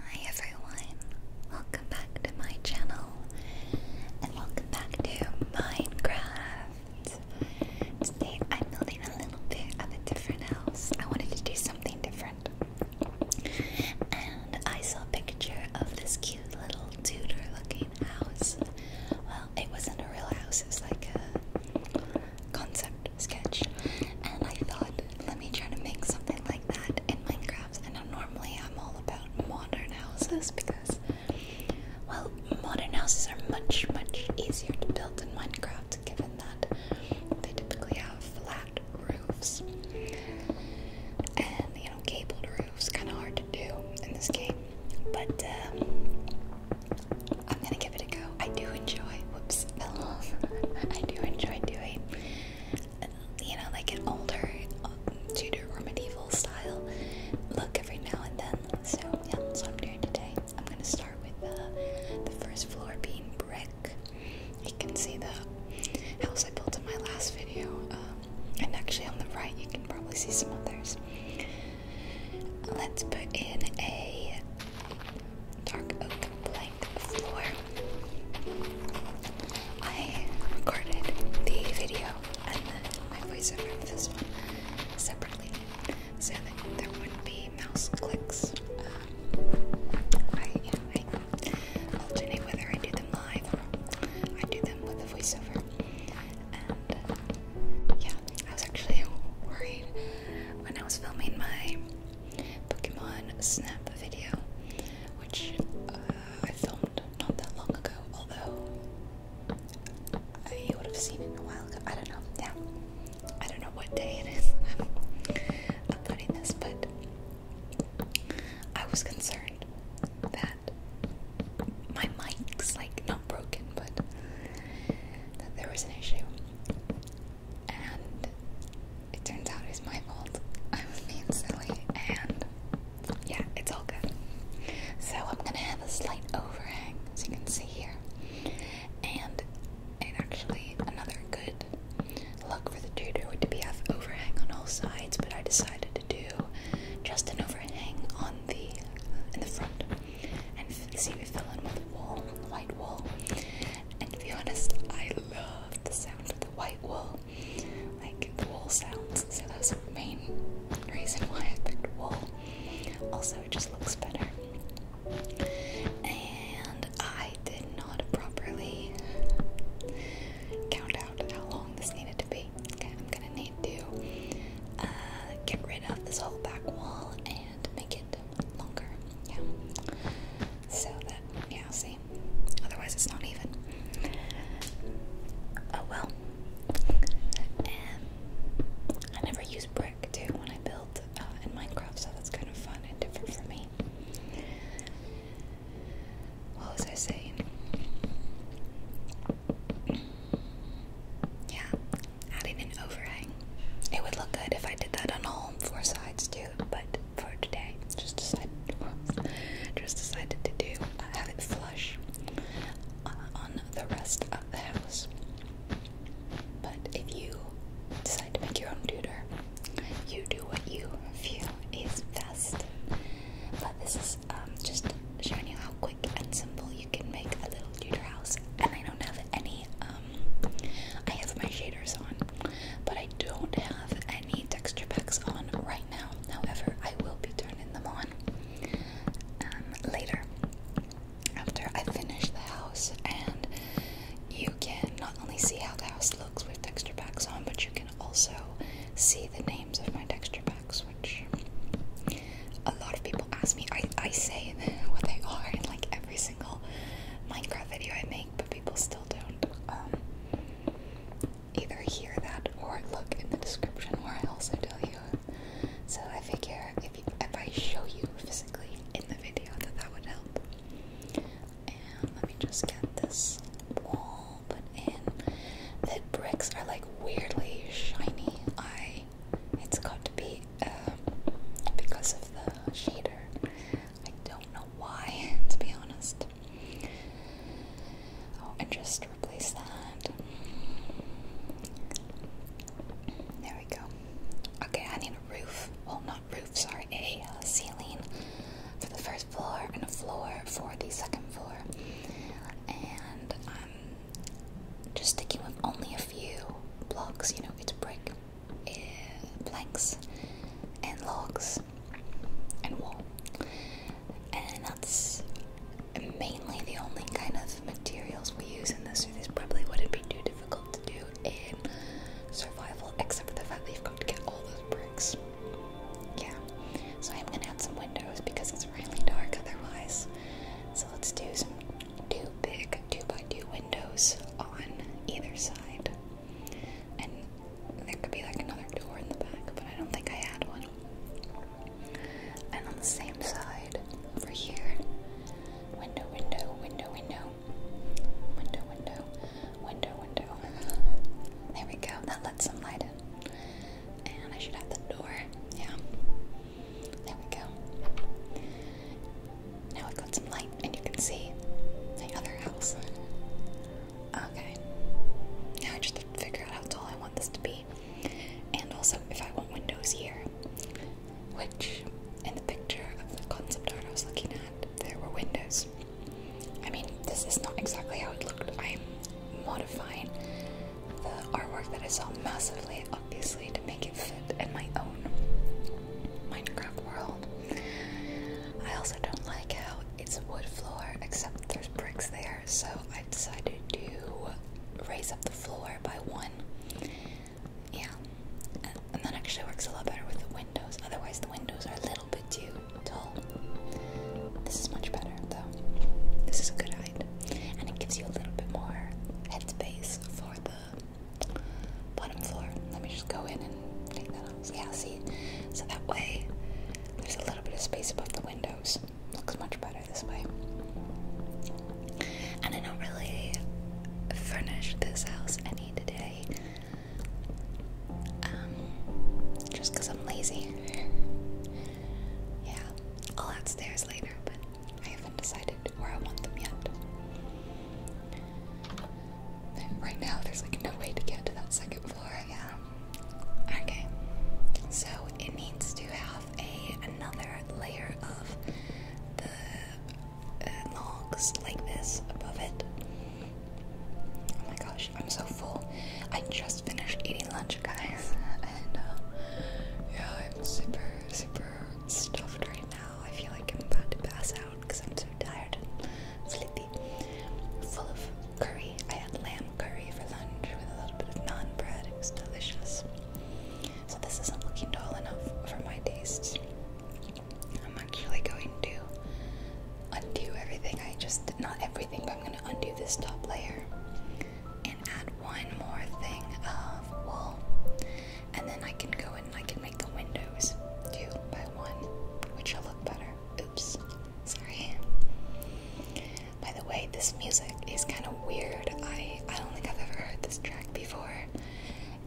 Hi everyone, welcome back to my channel and welcome back to Minecraft. Today I'm building a little bit of a different house. I wanted to do something different. And I saw a picture of this cute little Tudor looking house. Well, it wasn't a real house, it was like a concept sketch, and I thought, let me try to make something like that in Minecraft. And normally I'm all about modern houses because, well, modern houses are much, much easier to build in Minecraft given that they typically have flat roofs. And, you know, cabled roofs, kind of hard to do in this game. But, um, I'm gonna give it a go. I do enjoy. Whoops. I do enjoy doing, you know, like an older um, Tudor or medieval style look every now and then. So yeah, so I'm doing today. I'm gonna start with uh, the first floor being brick. You can see the house I built in my last video, um, and actually on the right you can probably see some others. Let's put in a dark oak plank floor. I recorded the video and then voiceover separately so that there wouldn't be mouse clicks. Um, I alternate whether I do them live or I do them with the voiceover. And yeah, I was actually worried when I was filming my Pokemon Snap video, which uh, I filmed not that long ago, although you would have seen it a while ago. I don't know. Yeah. I don't know what day it is I'm uploading this, but I was concerned that my mic's like not broken, but that there was an issue and it turns out it was my fault. I was being silly, and yeah, it's all good. So I'm gonna have a slight overhang, as you can see here, and and actually another good look for the tutor would be have overhang on all sides, but I decided to do just an overhang on the in the front, and see if we fill in with wool, white wool, and to be honest, I love the sound of the white wool, like the wool sounds. So that's the main reason why I picked wool. Also, it just looks better. And I did not properly count out how long this needed to be. Okay, I'm gonna need to uh, get rid of this whole back wall and make it longer. Yeah. So that, yeah, see? Otherwise, it's not even. Oh well. And I never use brick too when I build uh, in Minecraft, so that's kind of fun and different for me. What was I saying? Yeah, adding an overhang. It would look good if I did that on all four sides too, but for today, just decided, to do uh, have it flush uh, on the rest of the house. But if you decide to make your own tutor, you do what you feel is best. But this is um, just showing you how quick and simple you can make a little tutor house, and I don't have it any um I have my shaders on, but I don't have any texture packs on right now. However, I will be turning them on um, later after I finish the house and you can not only see how the house looks with texture packs on, but you can also see the names of my texture packs, which a lot of people ask me. I, I say what they are in like every single Minecraft video I make, but people still don't um, either hear that or look in the description where I also tell you. So I figure if if I show you physically in the video, that that would help. And let me just get this wall put in. The bricks are like weirdly shiny. I it's got to be um, because of the shader I don't know why to be honest oh and just replace that there we go okay I need a roof well not roofs. sorry a uh, ceiling for the first floor and a floor for the second floor and I'm um, just sticking with only a few blocks, you know, it's brick, uh, planks, and logs, and wool. And that's mainly the only kind of materials we use in this, so this probably wouldn't be too difficult to do in survival, except for the fact that you've got to get all those bricks. Yeah, so I'm gonna add some windows because it's really dark otherwise. So let's do some two big 2x2 windows on either side. And there could be like another door in the back, but I don't think I had one. And on the same side, over here, window, window, window, window, window, window, window, window. There we go, that lets some light in. And I should have the door, yeah. There we go. Now I have got some light and you can see the other house. Okay. Now I just have to figure out how tall I want this to be. And also if I want windows here. Which in the picture of the concept art I was looking at, there were windows. I mean, this is not exactly how it looked. I'm modifying the artwork that I saw massively, obviously, to make it make in my own Minecraft world. I also don't like how it's a wood floor, except there's bricks there, so I decided to raise up the floor by one. Yeah, and that actually works a lot better with the windows, otherwise, the windows are a little bit too tall. This is much better, though. This is a good height, and it gives you a little bit more headspace for the bottom floor. Let me just go in and take that off. Yeah, see? So that way there's a little bit of space above the windows. Looks much better this way. And I don't really furnish this house any today. Um, just because I'm lazy. yeah, I'll add later, I haven't decided where I want them yet. right now, there's like no way to get to that second floor. Yeah. Okay. So it needs to have a another layer of the uh, logs like this above it. Oh my gosh, I'm so full. I just finished eating lunch, guys, uh, yeah, I'm super, super stuffed right now. I feel like I'm about to pass out because I'm so tired and sleepy. Full of curry. I had lamb curry for lunch with a little bit of naan bread. It was delicious. So this isn't looking tall enough for my tastes. I'm actually going to undo everything. I just not everything, but I'm gonna undo this top layer and add one more thing of wool. And then I can go in and I can make the windows two by one, which will look better. Oops, sorry. By the way, this music is kind of weird. I, I don't think I've ever heard this track before,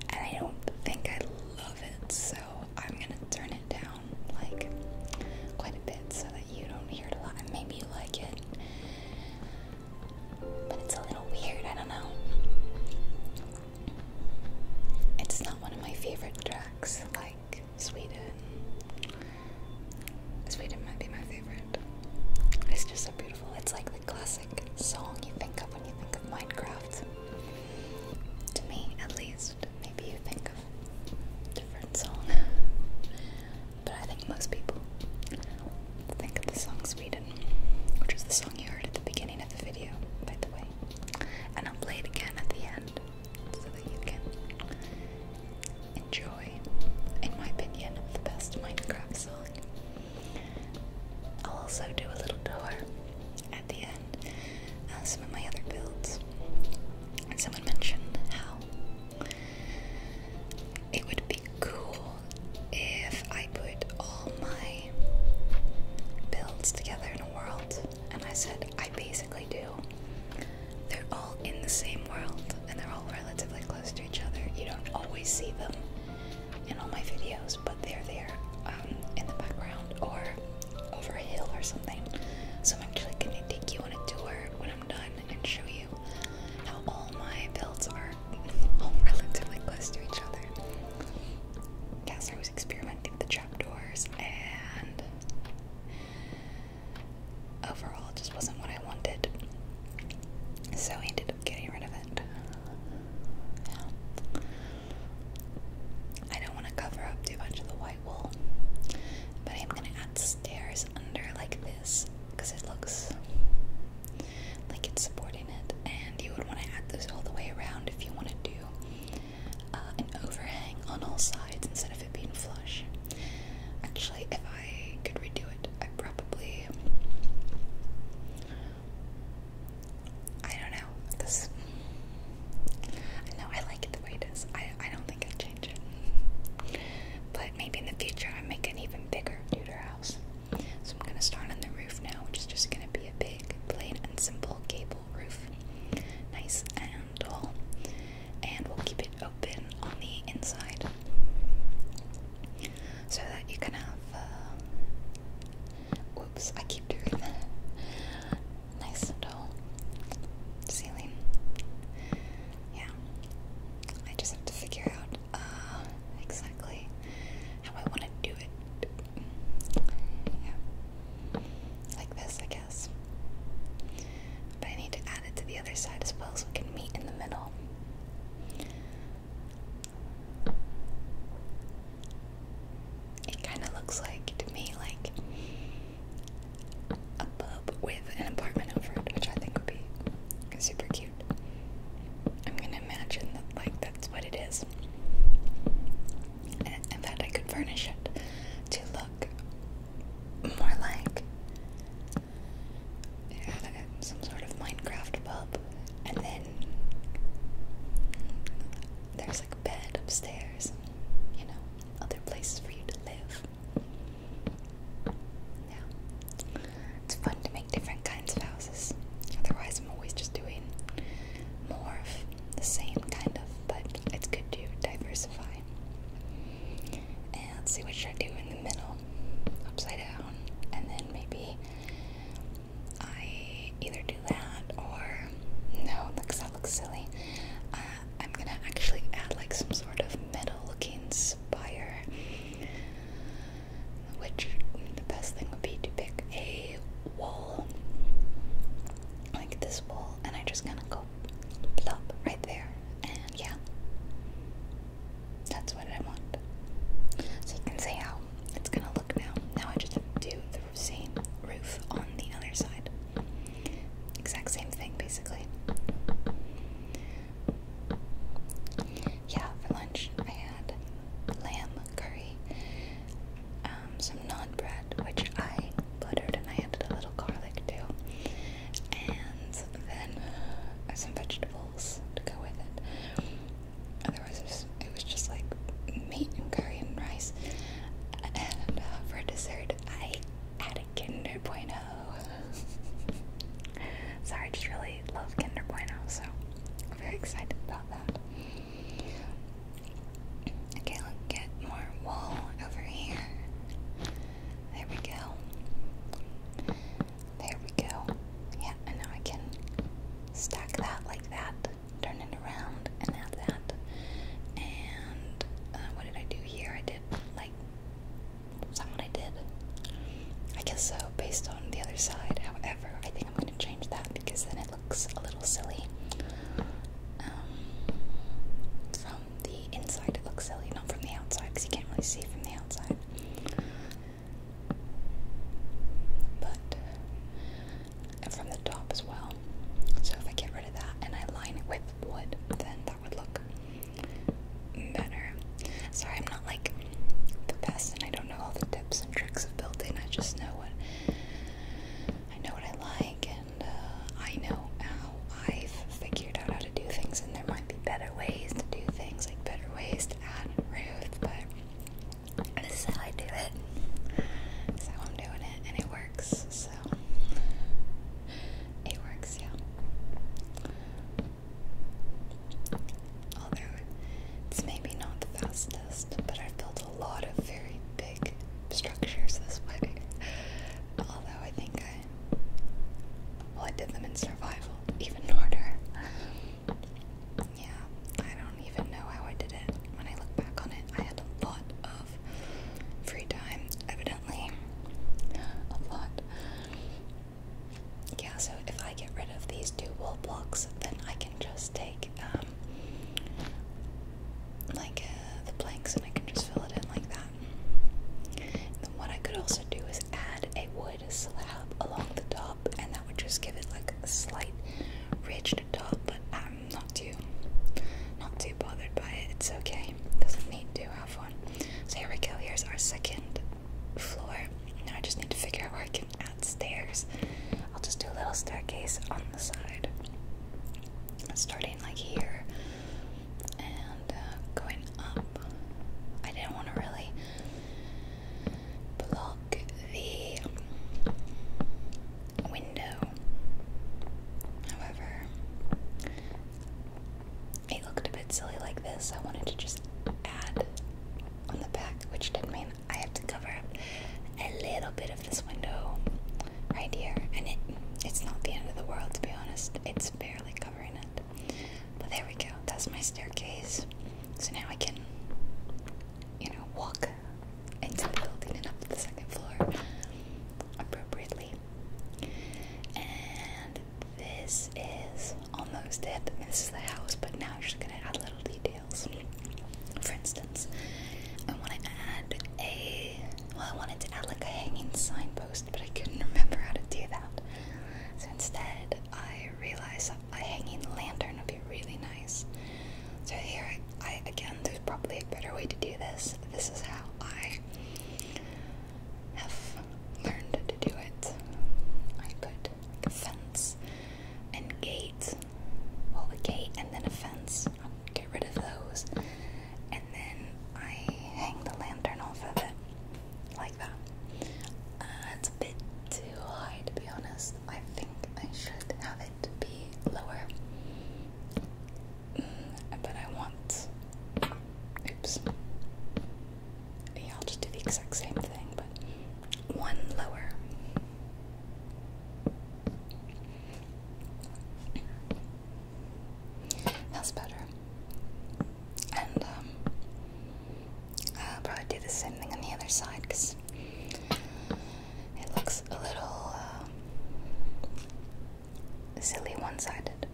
and I don't think I love it, so I'm gonna turn it down like quite a bit so that you don't hear it a lot, and maybe you like it. But it's a little weird, I don't know. It's not one of my favorite tracks, like Sweden. Sweden might be my favorite. It's just so beautiful. It's like the classic song you think of when you think of Minecraft. To me, at least. Maybe you think of different song but I think most people think of the song Sweden, which is the song you heard at the beginning of the video, by the way. And I'll play it again at the end so that you can enjoy, in my opinion, the best Minecraft song. I'll also do a little tour at the end uh, some of my other builds. Someone mentioned how it would be cool if I put all my builds together in a world, and I said I basically do. They're all in the same world, and they're all relatively close to each other. You don't always see them in all my videos, but they're there um, in the background or over a hill or something. So I'm actually gonna take you on a tour when I'm done and show you how all my builds are relatively close to each other. Yeah, I was experimenting with the trapdoors and overall it just wasn't what I wanted. So I ended up getting rid of it. I don't want to cover up too much of the white wool, but I'm gonna add stairs under like this because it looks like it's supporting it and you would want to add this all the way around if you want to do uh, an overhang on all sides instead of it being flush. Actually, if I could redo it, I probably I don't know I know I like it the way it is. I I don't think I'd change it, but maybe in the future I make an even even bigger Deuterhouse. So I'm gonna start on the roof now, which is just gonna be a big, plain and simple gable roof. Nice and tall. And we'll keep it open on the inside. So that you can have uh I keep doing that. Nice and tall ceiling. Yeah. I just have to figure out uh, exactly how I want to do it. Like this, I guess. But I need to add it to the other side as well so it can meet in the middle. It kind of looks like, to me, like a pub with an apartment over it, which I think would be super cute. I'm gonna imagine that, like, that's what it is. And in I could furnish it to look more like some sort of Minecraft pub. And then there's like a bed upstairs, you know, other places for you to live. It's fun to make different kinds of houses. Otherwise, I'm always just doing more of the same kind of, but it's good to diversify. And let's see what should I do in the middle, upside down, and then maybe I either do that or no, because that looks silly. Uh, I'm gonna actually add like some sort of metal-looking spire which the best thing would be to pick a wall like this wall, and I just kind of go plop right there, and yeah, that's what I want. So you can see how it's gonna look now. Now I just have to do the same roof on the other side, exact same thing basically. Yeah, for lunch I had lamb curry, um, some naan bread, which I buttered and I added a little garlic too, and then some vegetables to go with it. Otherwise, it was, just like meat and curry and rice. And uh, for dessert, I had a Kinder Bueno. Sorry, I just really love Kinder Bueno, so I'm very excited about that. Okay, let's get more wool over here. There we go. There we go. Yeah, and now I can stack that like that, turn it around, and add that. And uh, what did I do here? I did like is I did? I guess so, based on the other side. However, I think I'm going to change that because then it looks a little silly. Um, from the inside, it looks silly, not from the outside because you can't really see from the outside. But from the top as well. So if I get rid of that and I line it with wood, then would look better. Sorry, I'm not like the best and I don't know all the tips and tricks of building. I just know what I know what I like and uh, I know how I've figured out how to do things and there might be better ways to do things, like better ways to add Ruth, but this is how I do it. This is how I'm doing it and it works, so it works, yeah. Although it's maybe not the fastest, but i built a lot of very big structures this way. Although I think I, well, I did them in survival, even harder. Yeah, I don't even know how I did it. When I look back on it, I had a lot of free time. Evidently. Yeah, so if I get rid of these two wool blocks, then I can just take um, like uh, the planks and I can just fill it in like that. then what I could also do is add a wood slab along the top, and that would just give it like a slight ridged top. But I'm um, not too, not too bothered by it. It's okay. Doesn't need to have one. So here we go. Here's our second floor. Now I just need to figure out where I can add stairs. I'll just do a little staircase on the side, starting like here and uh, going up. I didn't want to really block the window. However, it looked a bit silly like this. I wanted to just add on the back, which did mean I have to cover up a little bit of this window right here. And it it's not the end of the world to be honest. It's barely covering it. But there we go. That's my staircase. So now I can you know walk into the building and up to the second floor appropriately. And this is almost it. This is the house, but now I'm just gonna add little details. For instance, I want to add a. Well, I wanted to add like a hanging signpost, but I couldn't remember how to do that. So instead, I realized a hanging lantern would be really nice. So here, I again, there's probably a better way to do this. This is how I have learned to do it. I could like fence and gate. Well, a gate and then a fence. I'll get rid of those. And then I hang the lantern off of it. Like that. Uh, it's a bit too high to be honest. I think I should have it be lower but I want. Oops. Yeah, I'll just do the exact same thing, but one lower. That's better. And um, I'll probably do the same thing on the other side because it looks a little. Uh, silly one-sided.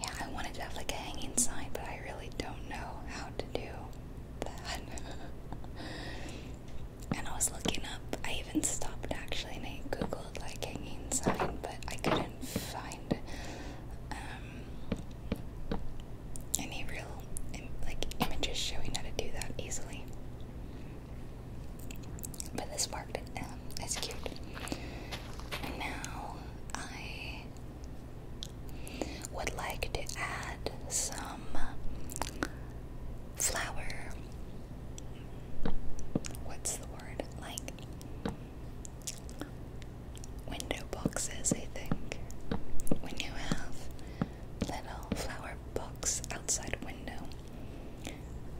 Yeah, I wanted to have like a hanging sign, but I really don't know how to do that. and I was looking up, I even stopped actually and I googled like hanging sign, but I couldn't find um, any real like images showing how to do that easily. But this worked. it's cute. now I would like to add some flower. What's the word? Like window boxes, I think. When you have little flower box outside window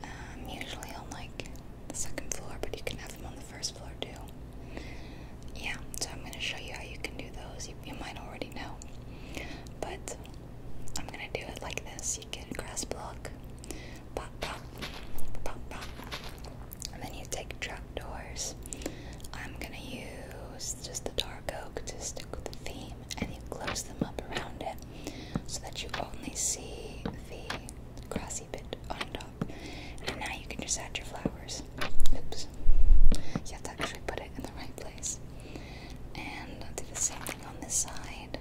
um, usually on like the second floor, but you can have them on the first floor too. Yeah, so I'm gonna show you how you can do those. You, you might already know, but I'm gonna do it like this. You get a grass block, pop, pop, pop, pop, and then you take trapdoors. I'm gonna use just the dark oak to stick with the theme, and you close them up around it so that you only see the grassy bit on top. And now you can just add your flowers. Oops. You have to actually put it in the right place. And do the same thing on this side.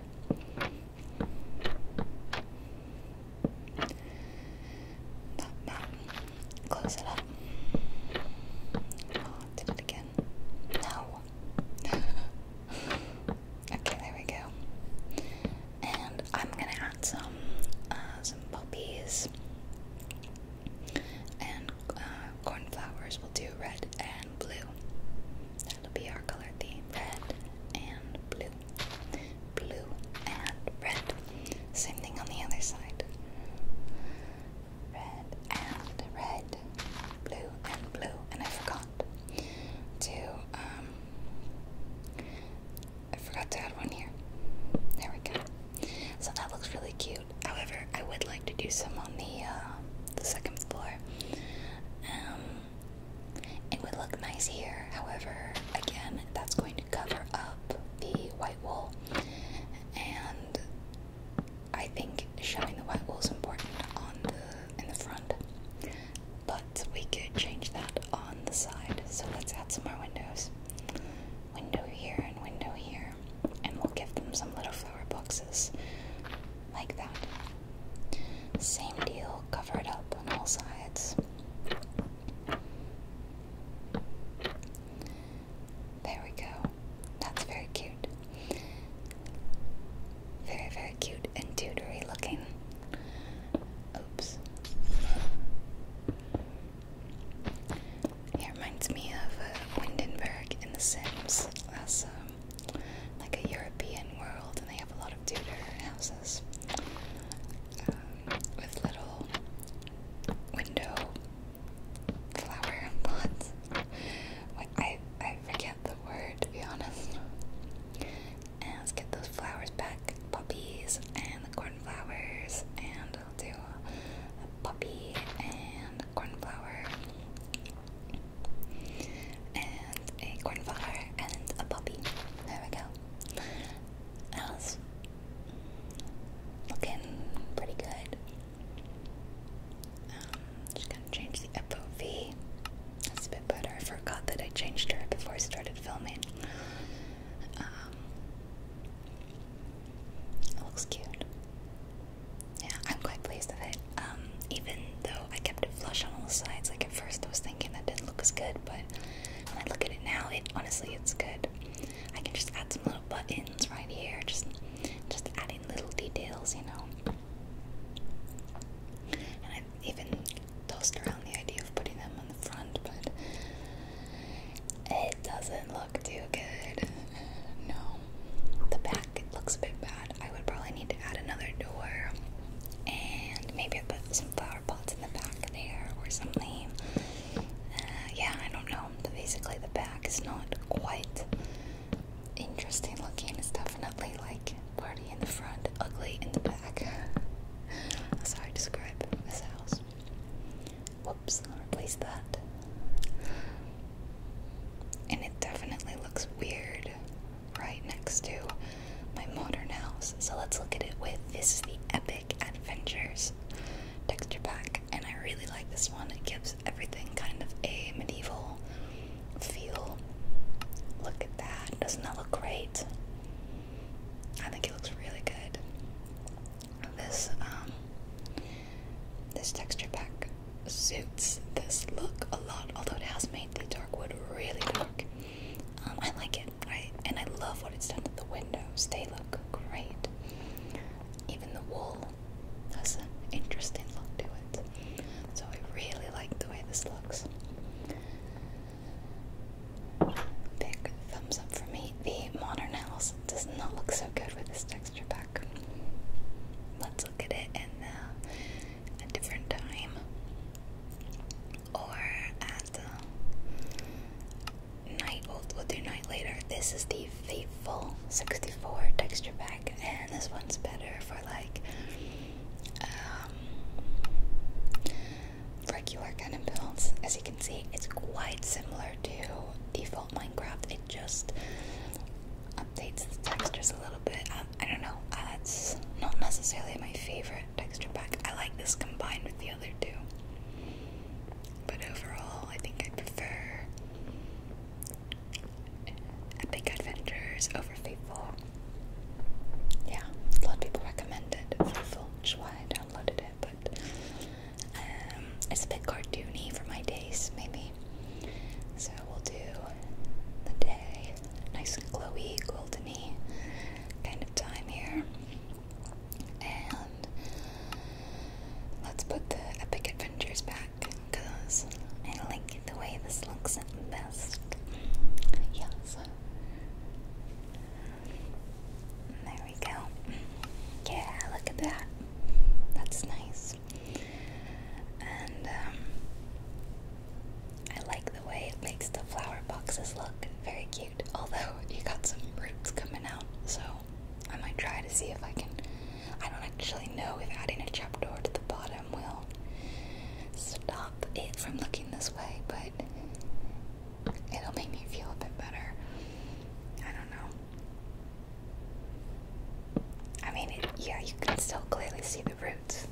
That mountain. Close it up. Oh, did it again. No. Okay, there we go. And I'm gonna add some uh, some poppies and uh, cornflowers. We'll do red and blue. That'll be our color theme: red and blue, blue and red. Same thing on the other side. Red and red blue, and blue, and I forgot to, um, I forgot to add one here. There we go. So that looks really cute. However, I would like to do some on the, uh, the second floor. Um, it would look nice here. However, again, that's going to cover up the white wall, and I think showing the white is important on the in the front, but we could change that on the side. So let's add some more windows. Window here and window here, and we'll give them some little flower boxes like that. Same deal, cover it up on all sides. There we go. That's very cute. Very, very cute and Tudor-y looking. Oops. It reminds me of uh, in The Sims. That's um, like a European world, and they have a lot of Tudor houses um, with little window flower pots. I I forget forget the word to be honest. And let's get those flowers back. Puppies and the cornflowers. And I'll do a puppy and a cornflower. And a cornflower and a puppy. There we go. That was looking pretty good. Um, just gonna change the FOV. That's a bit better. I forgot that I changed her before I started filming. Um, it looks cute. Yeah, I'm quite pleased with it. Um, even though I kept it flush on all sides, like at first I was thinking that didn't look as good, but when I look at it now, it honestly it's good. I can just add some little buttons right here, just just adding little details, you know. And i even tossed around the idea of putting them on the front, but it doesn't look too good. No. The back looks a bit bad. I would probably need to add another door. And maybe I put some flower pots in the back there or something. Uh, yeah, I don't know. basically, the back is not quite interesting looking. It's definitely like party in the front, ugly in the back. That's how I describe this house. Whoops, I'll replace that. And it definitely looks weird right next to my modern house. So let's look at it with this is the Epic Adventures texture pack. And I really like this one. It gives everything kind of a medieval feel. Look at that. Doesn't that look great? I think it looks really good. This um this texture pack suits this look a lot, although it has made the dark wood really dark. Um, I like it, right? And I love what it's done to the windows. They look great. Even the wall. That's an interesting look to it. So I really like the way this looks. Big thumbs up for me. The modern house does not look so good with this texture pack. Let's look at it in uh, a different time. Or at uh, night. old will we'll do night later. This is the favorite full 64 texture pack, and this one's better for like um, regular kind of builds. As you can see, it's quite similar to default Minecraft. It just updates the textures a little bit. I don't know. That's uh, not necessarily my favorite texture pack. I like this combined with the other two. But overall, I think I prefer Epic Adventures over Yeah, a lot of people recommended Faithful, which why I downloaded it, but um, it's a bit cartoony for my taste, maybe. So we'll do the day, nice and glowy, goldeny kind of time here. And let's put the Epic Adventures back because I like the way this looks at best. Yes. There we go. Yeah, look at that. That's nice. And um, I like the way it makes the flower boxes look very cute. Although you got some roots coming out, so I might try to see if I can I don't actually know if adding a trapdoor to the bottom will stop it from looking this way, but it'll make me feel a bit better. I don't know. I mean, yeah, you can still clearly see the roots.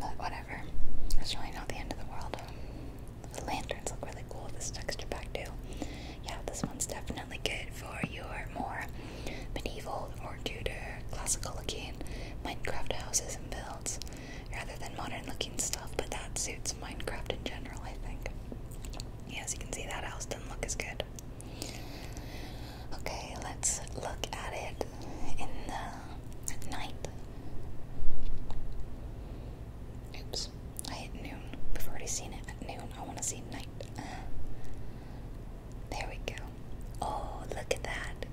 But whatever. It's really not the end of the world. The lanterns look really cool this texture pack too. Yeah, this one's definitely good for your more medieval or Tudor classical looking Minecraft houses and builds rather than modern looking stuff, but that suits Minecraft in general, I think. Yeah, as you can see, that house doesn't look as good. Okay, let's look at it in the night. Oops. I hit noon. We've already seen it at noon. I want to see night. Uh, there we go. Oh, look at that.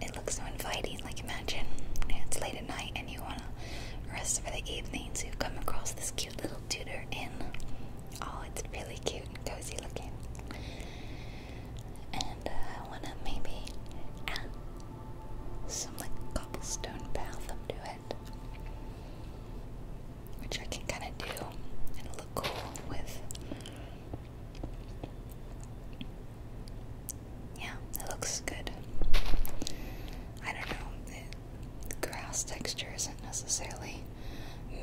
It looks so inviting. Like, imagine it's late at night and you want to rest for the evening, so you come across this cute little Tudor inn. Oh, it's really cute and cozy looking. And uh, I want to maybe some like cobblestone path up to it, which I can kind of do and look cool with. Yeah, it looks good. I don't know, the, grass texture isn't necessarily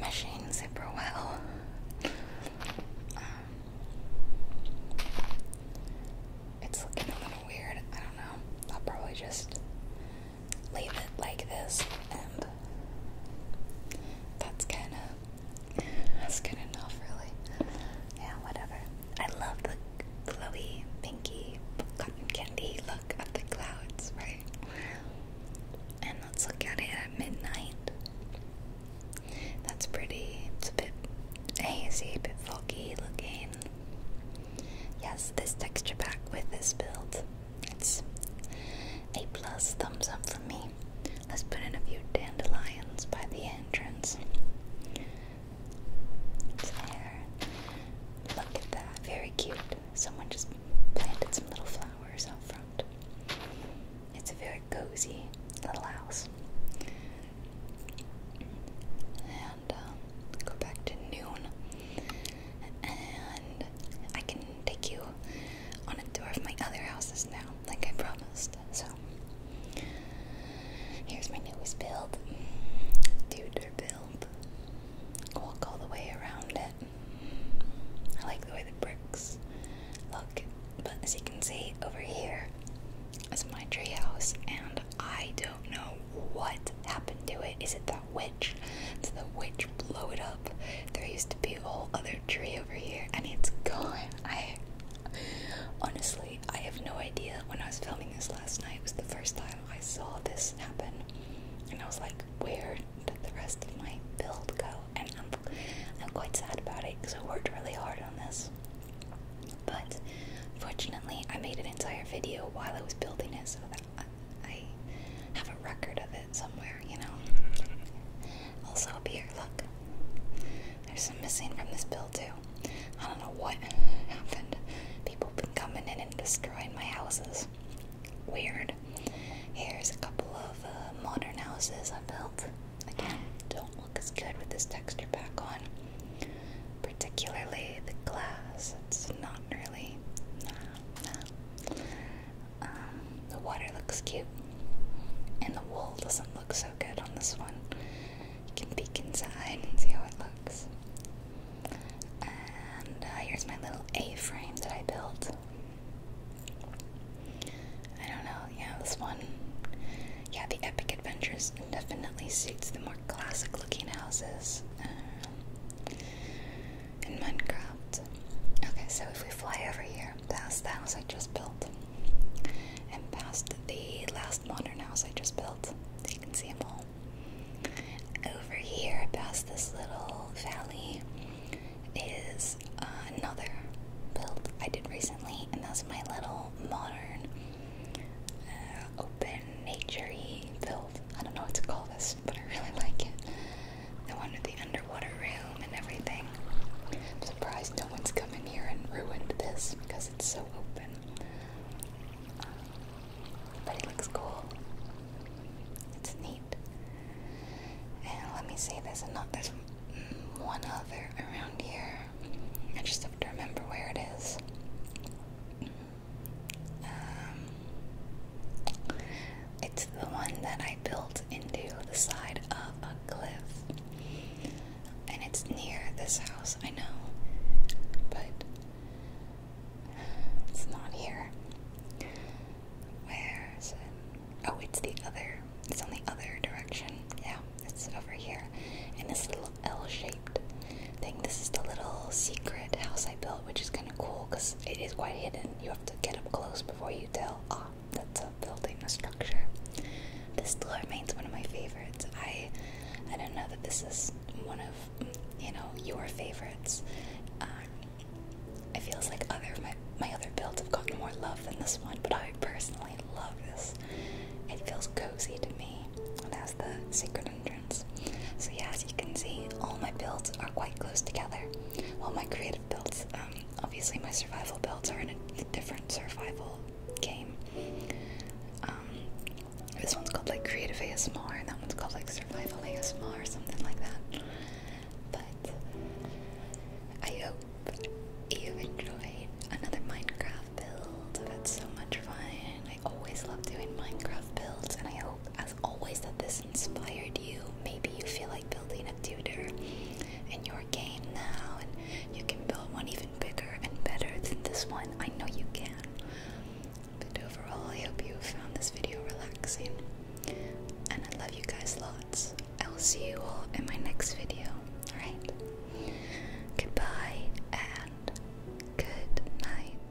meshing super well. Um, it's looking a little weird. I don't know. I'll probably just leave it like this, and that's kind of that's good enough, really. Yeah, whatever. I love the glowy, pinky, cotton candy look of the clouds, right? And let's look at it at midnight. That's pretty. It's a bit hazy, a bit foggy looking. Yes, this texture pack with this build. It's a plus thumbs up from me. Let's put in a few dandelions by the entrance. There. Look at that. Very cute. Someone just planted some little flowers out front. It's a very cozy little house and um, go back to noon. And I can take you on a tour of my other houses now, like I promised. So, here's my newest build. Tudor build. Walk all the way around it. I like the way the bricks look. But as you can see over here, is my treehouse, and I don't know what happened to it. Is it the witch? Did the witch blow it up? There used to be a whole other tree over here, and it's gone. I honestly, I have no idea. When I was filming this last night, was the first time I saw this happen, and I was like, "Where did the rest of my build go?" And I'm, I'm quite sad about it because I worked really hard on this. But fortunately, I made an entire video while I was building it, so that I, have a record of it somewhere, you know. Also up here, look. There's some missing from this build too. I don't know what happened. People have been coming in and destroying my houses. Weird. Here's a couple of uh, modern houses I built. Again, don't look as good with this texture back on. Particularly the glass. It's not really. Um, the water looks cute. And the wool doesn't look so good on this one. You can peek inside and see how it looks. And uh, here's my little A frame that I built. I don't know, yeah, this one. Yeah, the Epic Adventures definitely suits the more classic looking houses um, in Minecraft. Okay, so if we fly over here, past the house I just built, and past the last modern house I just built, so you can see them all. Over here, past this little valley, is another build I did recently, and that's my little modern uh, open, naturey filled. I don't know what to call this, but I really like it. The one with the underwater room and everything. I'm surprised no one's come in here and ruined this because it's so open. Um, but it looks cool. It's neat. And let me see, there's another, there's one other around here. I just have to remember where it is. Um, it's the one that I built into the side of a cliff, and it's near this house, I know, but it's not here. Where is Oh, it's the other. It's on the other direction. Yeah. It's over here in this little L-shaped thing. This is the little secret house I built, which is kind of cool because it is quite hidden. You have to get up close before you tell. Ah, oh, that's a building, a structure. This still remains one of my favorites. I, I don't know that this is one of you know your favorites. Um, it feels like other my my other builds have gotten more love than this one, but I personally love this. It feels cozy to me. And has the secret entrance. So yeah, as you can see, all my builds are quite close together. All my creative builds. Um, obviously, my survival builds are in a different survival game. Um, this one's called like creative ASMR, and that one's called like survival ASMR or something like that. But I hope you enjoyed another Minecraft build. That's so much fun. I always love doing Minecraft builds, and I hope, as always, that this inspired you. Maybe you feel like building a tutor in your game now, and you can build one even bigger and better than this one. I know you can. But overall, I hope you found this video relaxing. And I love you guys lots. I will see you all in my next video. Alright. Goodbye and good night.